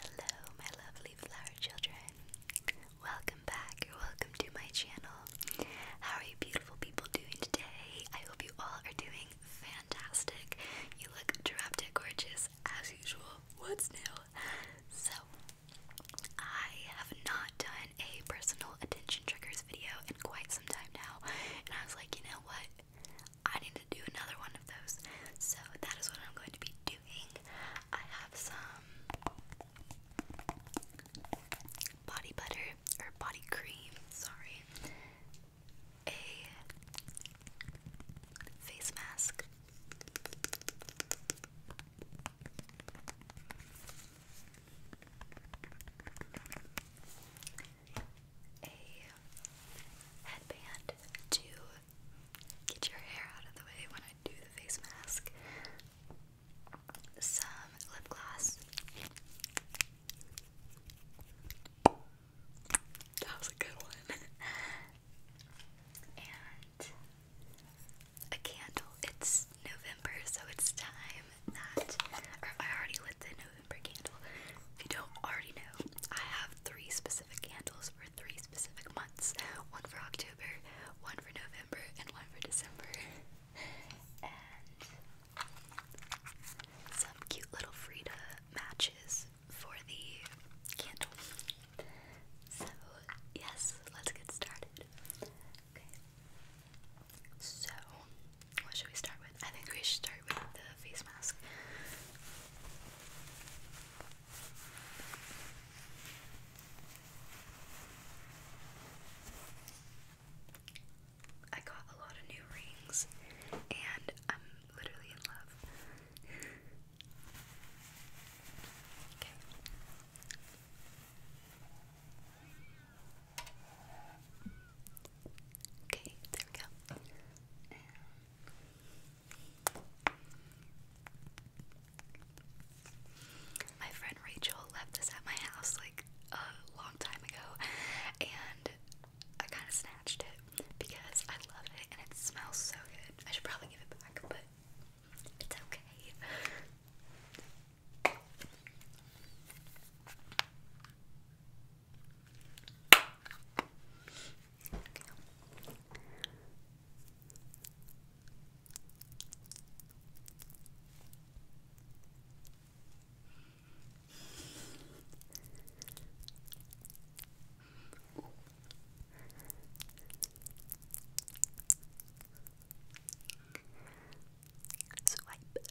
Hello, my lovely flower children. Welcome back, or welcome to my channel. How are you, beautiful people, doing today? I hope you all are doing fantastic. You look dramatic, gorgeous, as usual. What's new? So, I have not done a personal attention triggers video in quite some time now, and I was like, you know what? I need to do another one of those. So that is what I'm going to be doing. I have some body butter or body cream, sorry. A face mask a headband to get your hair out of the way when I do the face mask, some lip gloss. That was a good one. and a candle. It's November, so it's time that, or I already lit the November candle. If you don't already know, I have three specific candles for three specific months one for October, one for November, and one for December. and some cute little Frida matches for the candle. So, yes, let's get started. Okay. So, what should we start with? I think we should start with the face mask. I got a lot of new rings, and I'm literally in love. okay. Okay, there we go. my friend Rachel left this at my house like a long time ago, and I kind of snatched it because I love it and it smells so good. I should probably give it back, but it's okay. Swipe,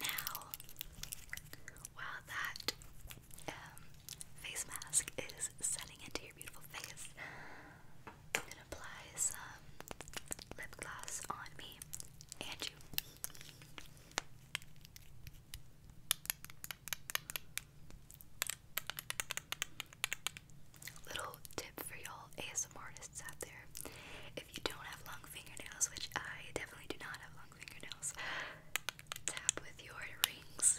Now, while that um, face mask is setting into your beautiful face, I'm gonna apply some lip gloss on me and you. Little tip for y'all ASMR artists out there if you don't have long fingernails, which I definitely do not have long fingernails, tap with your rings.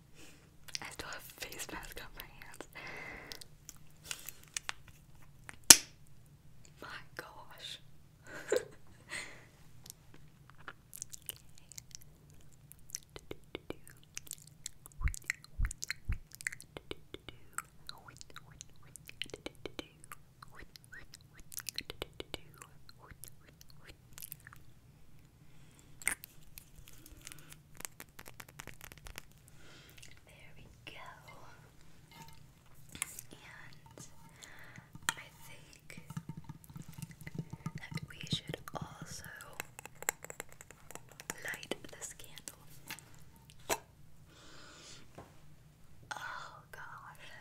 I still have face mask on my hands. My gosh. There we go. And I think that we should also light this candle. Oh gosh.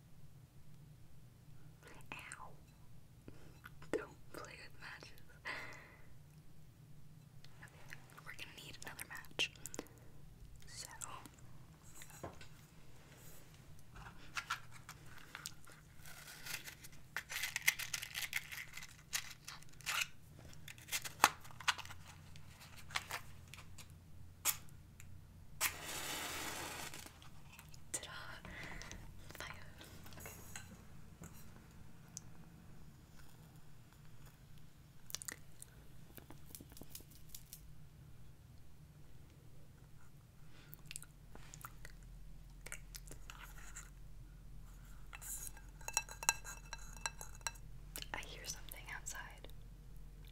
Ow. Don't play with matches. we're gonna need another match. So ta Fire. I hear something outside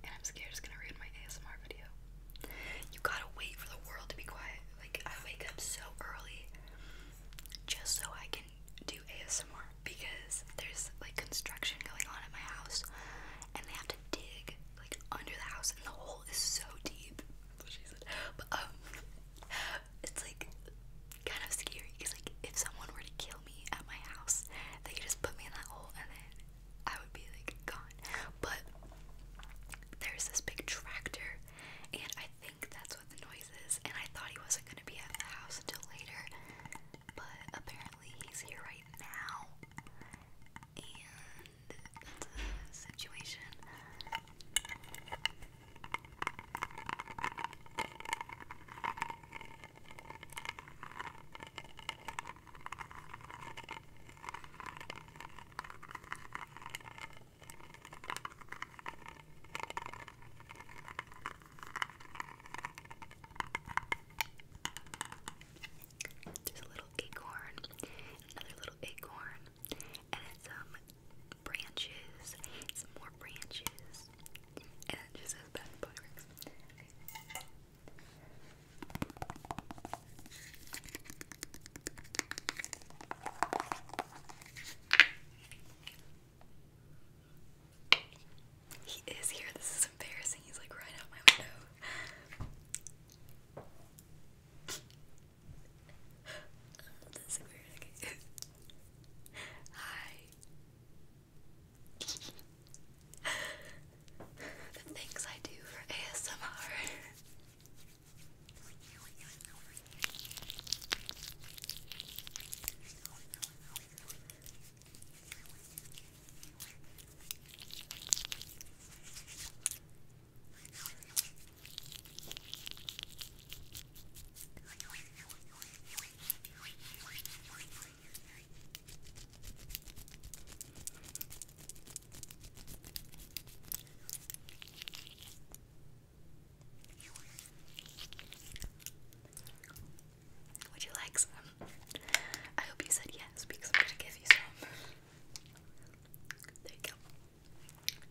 and I'm scared Just gonna read my ASMR video. You gotta wait for the world to be quiet. Like, I wake up so early just so I can do ASMR because there's like construction going on at my house and they have to dig like under the house and the hole is so deep. But, um, it's like kind of scary. It's like if someone were to kill me at my house, they could just put me in that hole and then I would be like gone. But there's this big tractor, and I think that's what the noise is. And I thought he wasn't gonna be at the house until later, but apparently he's here right now. And that's a situation. There's a little acorn, another little acorn, and then some branches, some more branches, and just says bad fireworks. He is here. This is embarrassing. He's like right out my window. That's so weird. Hi. the things I do for ASMR. Would you like some? I hope you said yes because I'm gonna give you some. There you go.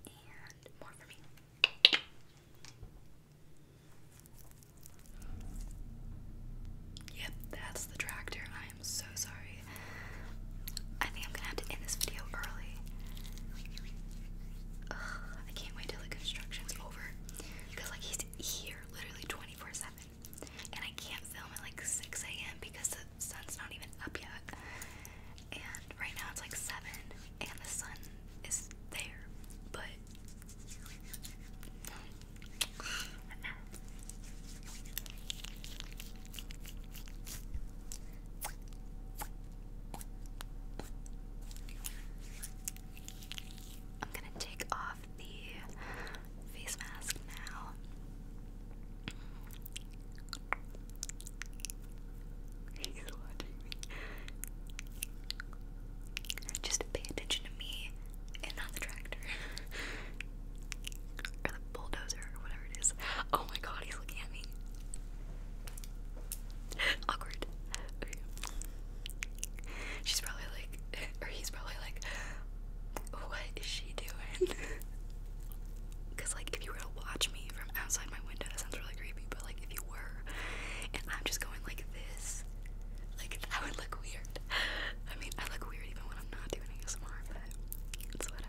And more for me. Yep, that's the tractor. I I'm so sorry. I think I'm gonna have to end this video early. I can't wait till the construction's over. Because, like, he's here literally 24 7. And I can't film at like 6 a.m. because the sun's not even up yet. And right now it's like 7 and the sun is there. But I'm gonna take off the face mask now. He's watching me. Just pay attention to me and not the tractor. Or the bulldozer, or whatever it is. Oh my god, he's looking at me. Awkward. She's probably like, or he's probably like, what is she doing? Because, like, if you were to watch me from outside my window, that sounds really creepy, but, like, if you were, and I'm just going like this, like, that would look weird. I mean, I look weird even when I'm not doing ASMR, but it's whatever.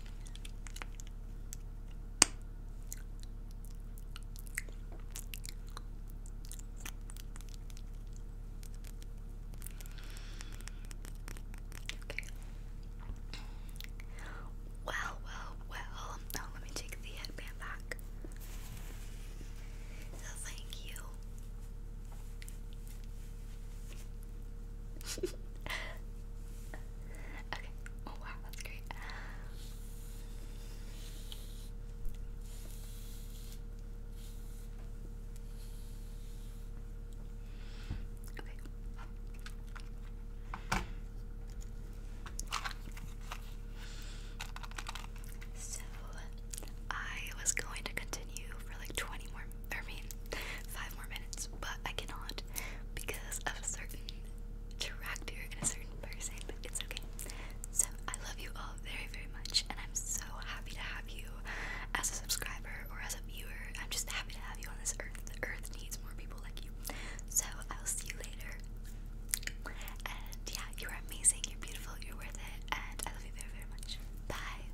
Well, well, well. Now let me take the headband back. So thank you. okay. Oh wow, that's great. Okay. So I was going to continue for like 20 more I mean, five more minutes, but I cannot because of a certain tractor and a certain person, it's okay. So, I love you all very, very much, and I'm so happy to have you as a subscriber or as a viewer. I'm just happy to have you on this earth. The earth needs more people like you. So, I will see you later. And yeah, you are amazing, you're beautiful, you're worth it, and I love you very, very much. Bye.